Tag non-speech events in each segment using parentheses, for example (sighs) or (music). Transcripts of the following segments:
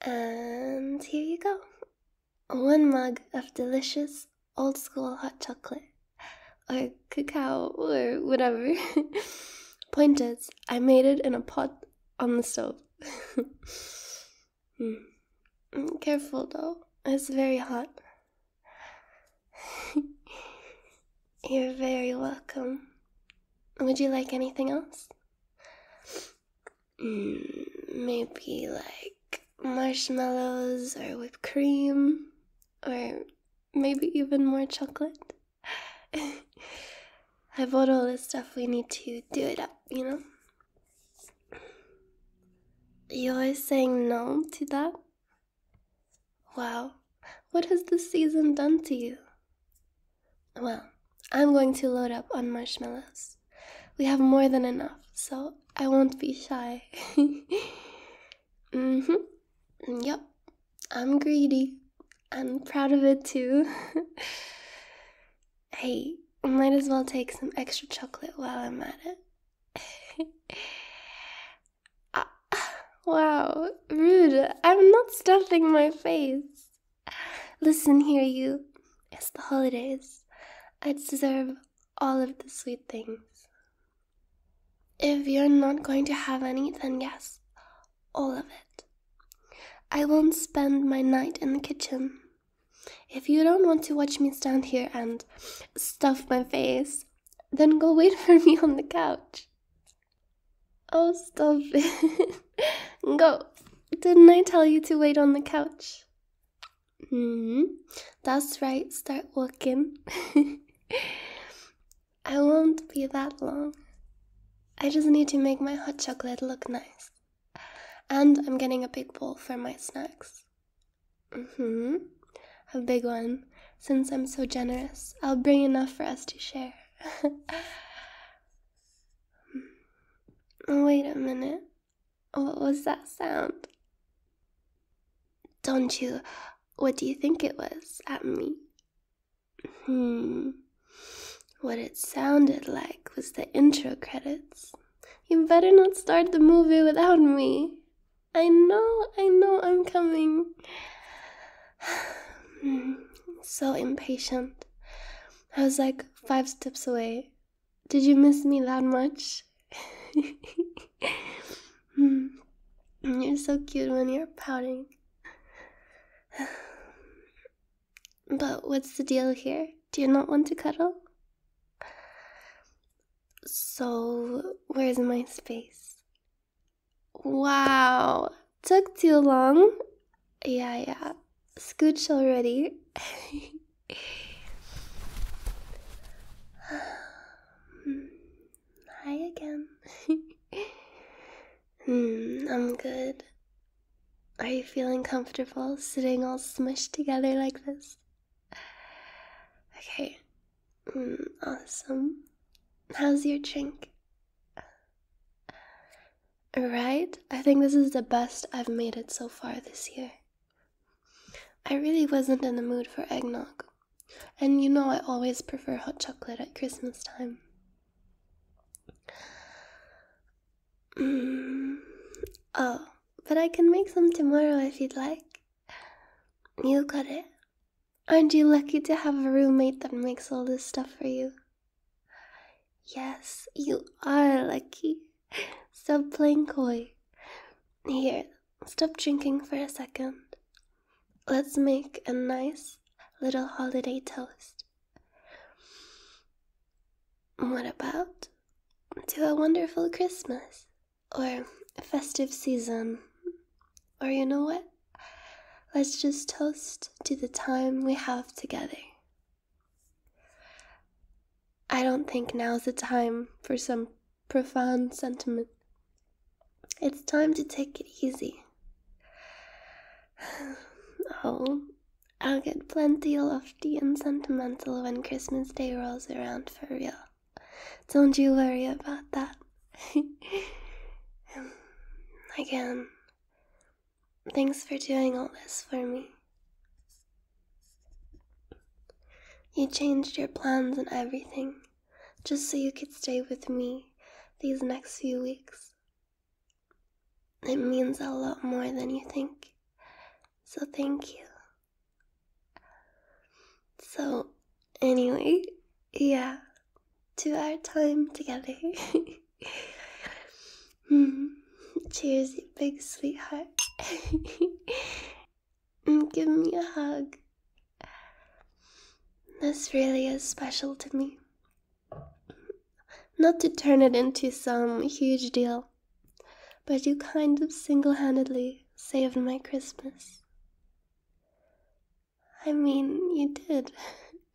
And here you go one mug of delicious old school hot chocolate or cacao or whatever. (laughs) Point is, I made it in a pot on the stove. (laughs) Hmm. Careful though, it's very hot. (laughs) You're very welcome. Would you like anything else? Mm, maybe like marshmallows or whipped cream or maybe even more chocolate. (laughs) I bought all this stuff we need to do it up, you know? You're saying no to that? Wow, what has the season done to you? Well, I'm going to load up on marshmallows. We have more than enough, so I won't be shy. (laughs) mm hmm. Yep, I'm greedy. I'm proud of it too. (laughs) hey, might as well take some extra chocolate while I'm at it. (laughs) ah, (sighs) wow, rude. I'm not stuffing my face. Listen here, you. It's the holidays. I deserve all of the sweet things. If you're not going to have any, then yes, all of it. I won't spend my night in the kitchen. If you don't want to watch me stand here and stuff my face, then go wait (laughs) for me on the couch. Oh, stop it. (laughs) Go. Didn't I tell you to wait on the couch? Hmm. That's right. Start walking. (laughs) I won't be that long. I just need to make my hot chocolate look nice. And I'm getting a big bowl for my snacks. Mm-hmm. A big one. Since I'm so generous, I'll bring enough for us to share. (laughs) Wait a minute. What was that sound? Don't you? What do you think it was at me? Hmm. What it sounded like was the intro credits. You better not start the movie without me. I know, I know I'm coming. (sighs) Hmm. so impatient. I was like five steps away. Did you miss me that much? (laughs) you're so cute when you're pouting. (sighs) But what's the deal here? Do you not want to cuddle? So, where's my space? Wow, took too long. Yeah, yeah. Scooch already. (sighs) Hi again. (laughs) Hmm, I'm good. Are you feeling comfortable sitting all smushed together like this? (sighs) Okay. Hmm, awesome. How's your drink? Right? I think this is the best I've made it so far this year. I really wasn't in the mood for eggnog. And you know I always prefer hot chocolate at Christmas time. Mm, oh, but I can make some tomorrow if you'd like. You got it. Aren't you lucky to have a roommate that makes all this stuff for you? Yes, you are lucky. Stop playing coy. Here, stop drinking for a second. Let's make a nice little holiday toast. What about to a wonderful Christmas? Or festive season? Or you know what? Let's just toast to the time we have together. I don't think now's the time for some profound sentiment. It's time to take it easy. (sighs) Oh, I'll get plenty lofty and sentimental when Christmas Day rolls around for real. Don't you worry about that. (laughs) I can. Thanks for doing all this for me. You changed your plans and everything just so you could stay with me these next few weeks. It means a lot more than you think, so thank you. So, anyway, yeah, to our time together. (laughs) (sighs) Cheers, big sweetheart. (laughs) Mm, give me a hug. This really is special to me. Not to turn it into some huge deal, but you kind of single handedly saved my Christmas. I mean, you did.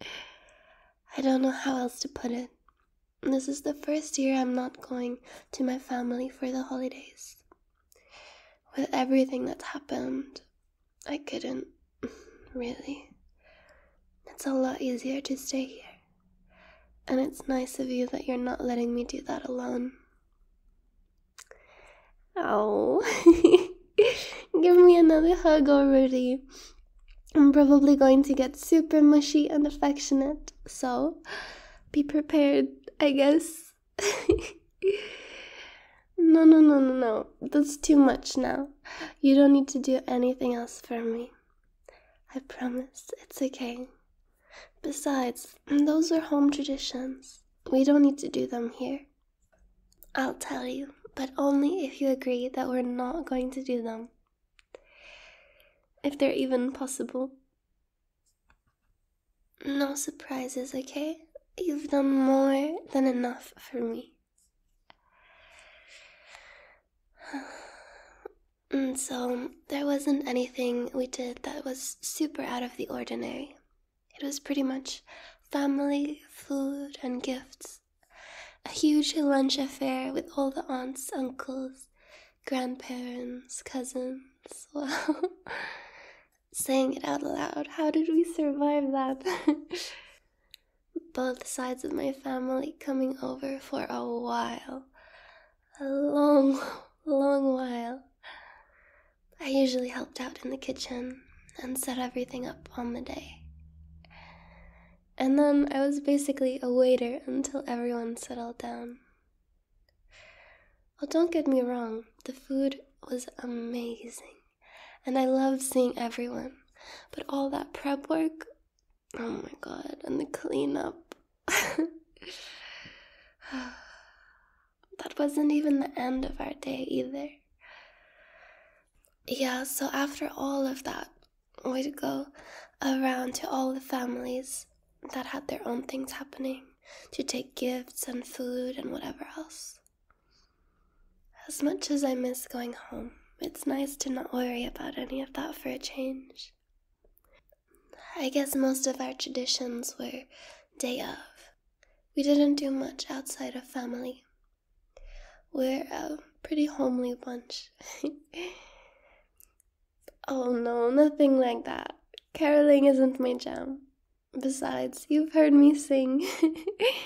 (laughs) I don't know how else to put it. This is the first year I'm not going to my family for the holidays. With everything that's happened, I couldn't, (laughs) really. It's a lot easier to stay here. And it's nice of you that you're not letting me do that alone. Oh, (laughs) give me another hug already. I'm probably going to get super mushy and affectionate, so be prepared, I guess. (laughs) no, no, no, no, no. That's too much now. You don't need to do anything else for me. I promise, it's okay. Besides, those are home traditions. We don't need to do them here. I'll tell you, but only if you agree that we're not going to do them if they're even possible. No surprises, okay? You've done more than enough for me. (sighs) And so, there wasn't anything we did that was super out of the ordinary. It was pretty much family, food, and gifts. A huge lunch affair with all the aunts, uncles, grandparents, cousins. (laughs) Well, Saying it out loud, how did we survive that? (laughs) Both sides of my family coming over for a while. A long, long while. I usually helped out in the kitchen and set everything up on the day and then I was basically a waiter until everyone settled down. Oh, don't get me wrong, the food was amazing, and I loved seeing everyone, but all that prep work oh my god, and the cleanup. (sighs) that wasn't even the end of our day either. Yeah, so after all of that, would go around to all the families that had their own things happening to take gifts and food and whatever else. As much as I miss going home, it's nice to not worry about any of that for a change. I guess most of our traditions were day of. We didn't do much outside of family, we're a pretty homely bunch. (laughs) oh no, nothing like that. Caroling isn't my jam. Besides, you've heard me sing.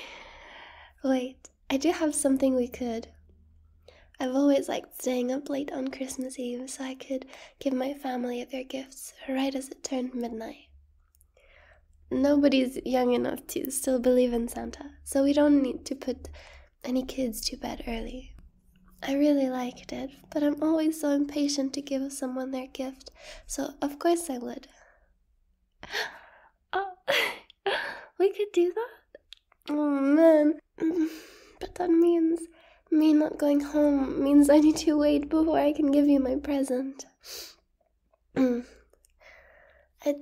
(laughs) Wait, I do have something we could. I've always liked staying up late on Christmas Eve so I could give my family their gifts right as it turned midnight. Nobody's young enough to still believe in Santa, so we don't need to put any kids to bed early. I really liked it, but I'm always so impatient to give someone their gift, so of course I would. (laughs) Oh, (laughs) we could do that? Oh man, (sighs) but that means me not going home means I need to wait before I can give you my present. (clears throat) I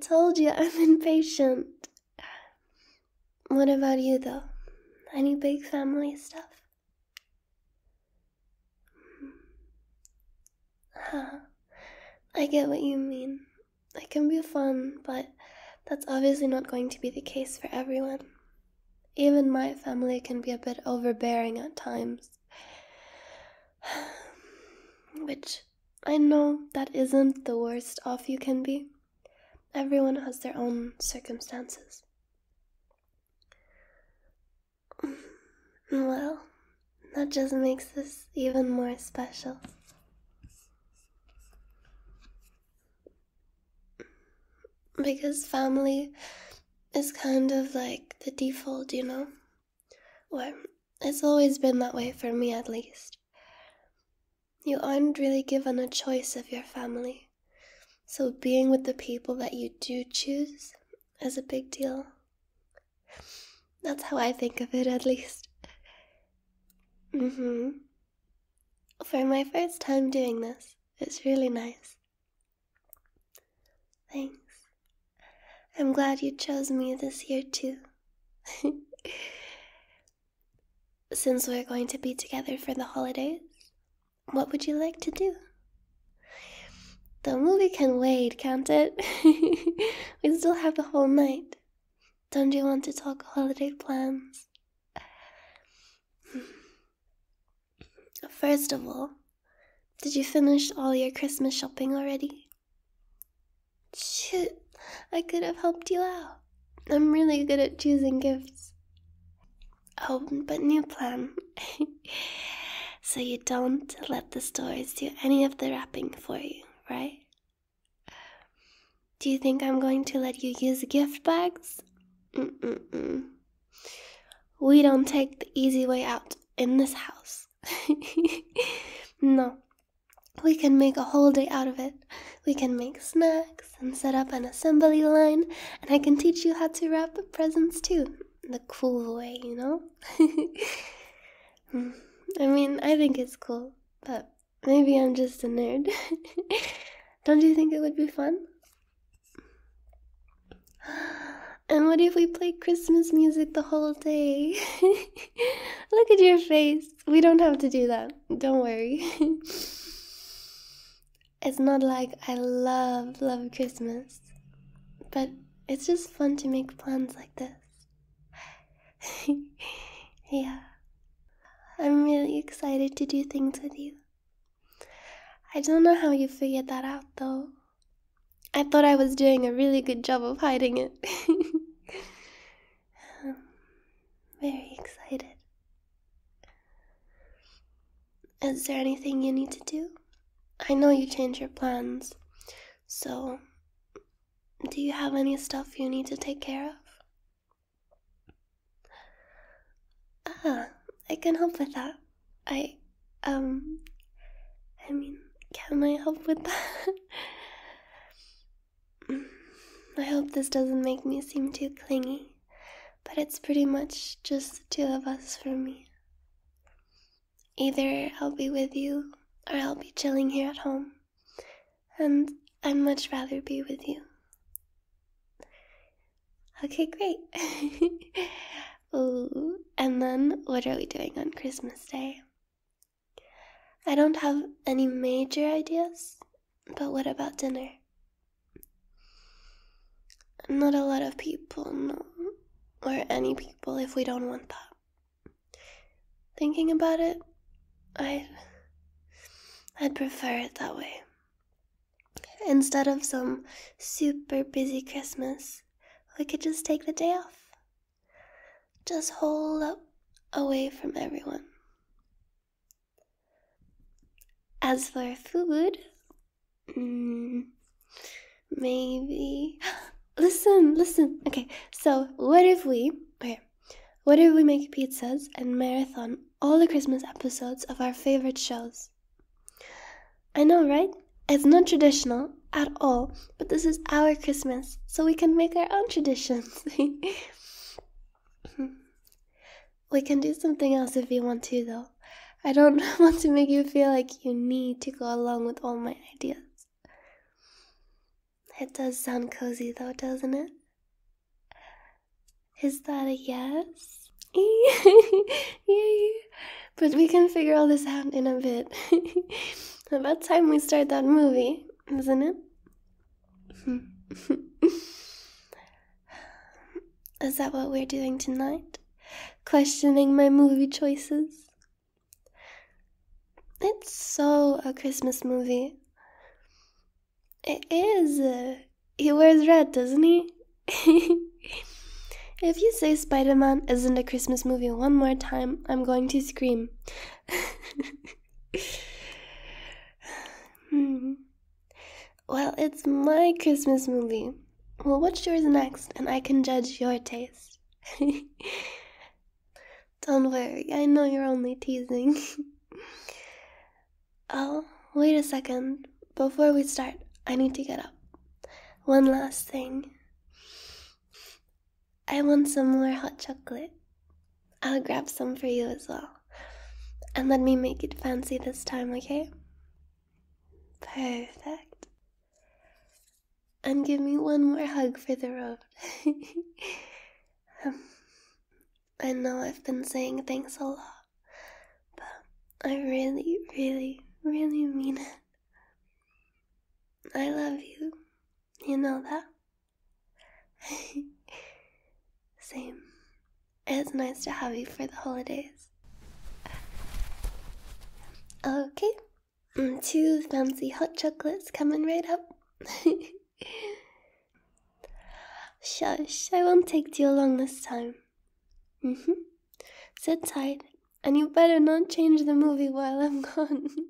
told you I'm (laughs) impatient. What about you, though? Any big family stuff? I get what you mean. It can be fun, but that's obviously not going to be the case for everyone. Even my family can be a bit overbearing at times. (sighs) Which I know that isn't the worst off you can be. Everyone has their own circumstances. (sighs) Well, that just makes this even more special. Because family is kind of like the default, you know? Well, it's always been that way for me at least. You aren't really given a choice of your family, so being with the people that you do choose is a big deal. That's how I think of it, at least. Mm-hmm. For my first time doing this, it's really nice. Thanks. I'm glad you chose me this year, too. (laughs) Since we're going to be together for the holidays, what would you like to do? The movie can wait, can't it? (laughs) we still have the whole night. Don't you want to talk holiday plans? (sighs) First of all, did you finish all your Christmas shopping already? Shoot, I could have helped you out. I'm really good at choosing gifts. Oh, but new plan. (laughs) so you don't let the stores do any of the wrapping for you, right? Do you think I'm going to let you use gift bags? We don't take the easy way out in this house. (laughs) no, we can make a whole day out of it. We can make snacks and set up an assembly line, and I can teach you how to wrap the presents too. The cool way, you know? (laughs) Mm, I mean, I think it's cool, but maybe I'm just a nerd. (laughs) Don't you think it would be fun? (gasps) And what if we play Christmas music the whole day? (laughs) Look at your face we don't have to do that. Don't worry. it's not like I love, love Christmas, but it's just fun to make plans like this. (laughs) yeah. I'm really excited to do things with you. I don't know how you figured that out though. I thought I was doing a really good job of hiding it. (laughs) um, very excited. Is there anything you need to do? I know you change your plans, so do you have any stuff you need to take care of? Ah, I can help with that. I, um, I mean, can I help with that? (laughs) (sighs) I hope this doesn't make me seem too clingy, but it's pretty much just the two of us for me. Either I'll be with you or I'll be chilling here at home, and I'd much rather be with you. Okay, great. (laughs) Ooh, and then what are we doing on Christmas Day? I don't have any major ideas, but what about dinner? Not a lot of people, no. Or any people if we don't want that. Thinking about it, I. I'd prefer it that way. Instead of some super busy Christmas, we could just take the day off just hold up away from everyone. As for food, mm, maybe. (gasps) listen, listen. Okay, so what if we. Okay, what if we make pizzas and marathon all the Christmas episodes of our favorite shows? I know, right? It's not traditional at all, but this is our Christmas, so we can make our own traditions. (laughs) (laughs) we can do something else if you want to, though. I don't (laughs) want to make you feel like you need to go along with all my ideas. It does sound cozy, though, doesn't it? Is that a yes? (laughs) Yay! But we can figure all this out in a bit. About time we start that movie, isn't it? (laughs) Is that what we're doing tonight? Questioning my movie choices? It's so a Christmas movie. It is. Uh, he wears red, doesn't he? (laughs) if you say Spider Man isn't a Christmas movie one more time, I'm going to scream. (laughs) Hmm. Well, it's my Christmas movie. Well, watch yours next, and I can judge your taste. (laughs) Don't worry, I know you're only teasing. (laughs) oh, wait a second. Before we start, I need to get up. One last thing. I want some more hot chocolate. I'll grab some for you as well. And let me make it fancy this time, okay? Perfect. And give me one more hug for the road. (laughs) I know I've been saying thanks a lot, but I really, really, really mean it. I love you. You know that? (laughs) Same. It's nice to have you for the holidays. Okay, mm, two fancy hot chocolates coming right up. (laughs) Shush, I won't take too long this time. Mm hmm. Sit tight, and you better not change the movie while I'm gone. (laughs)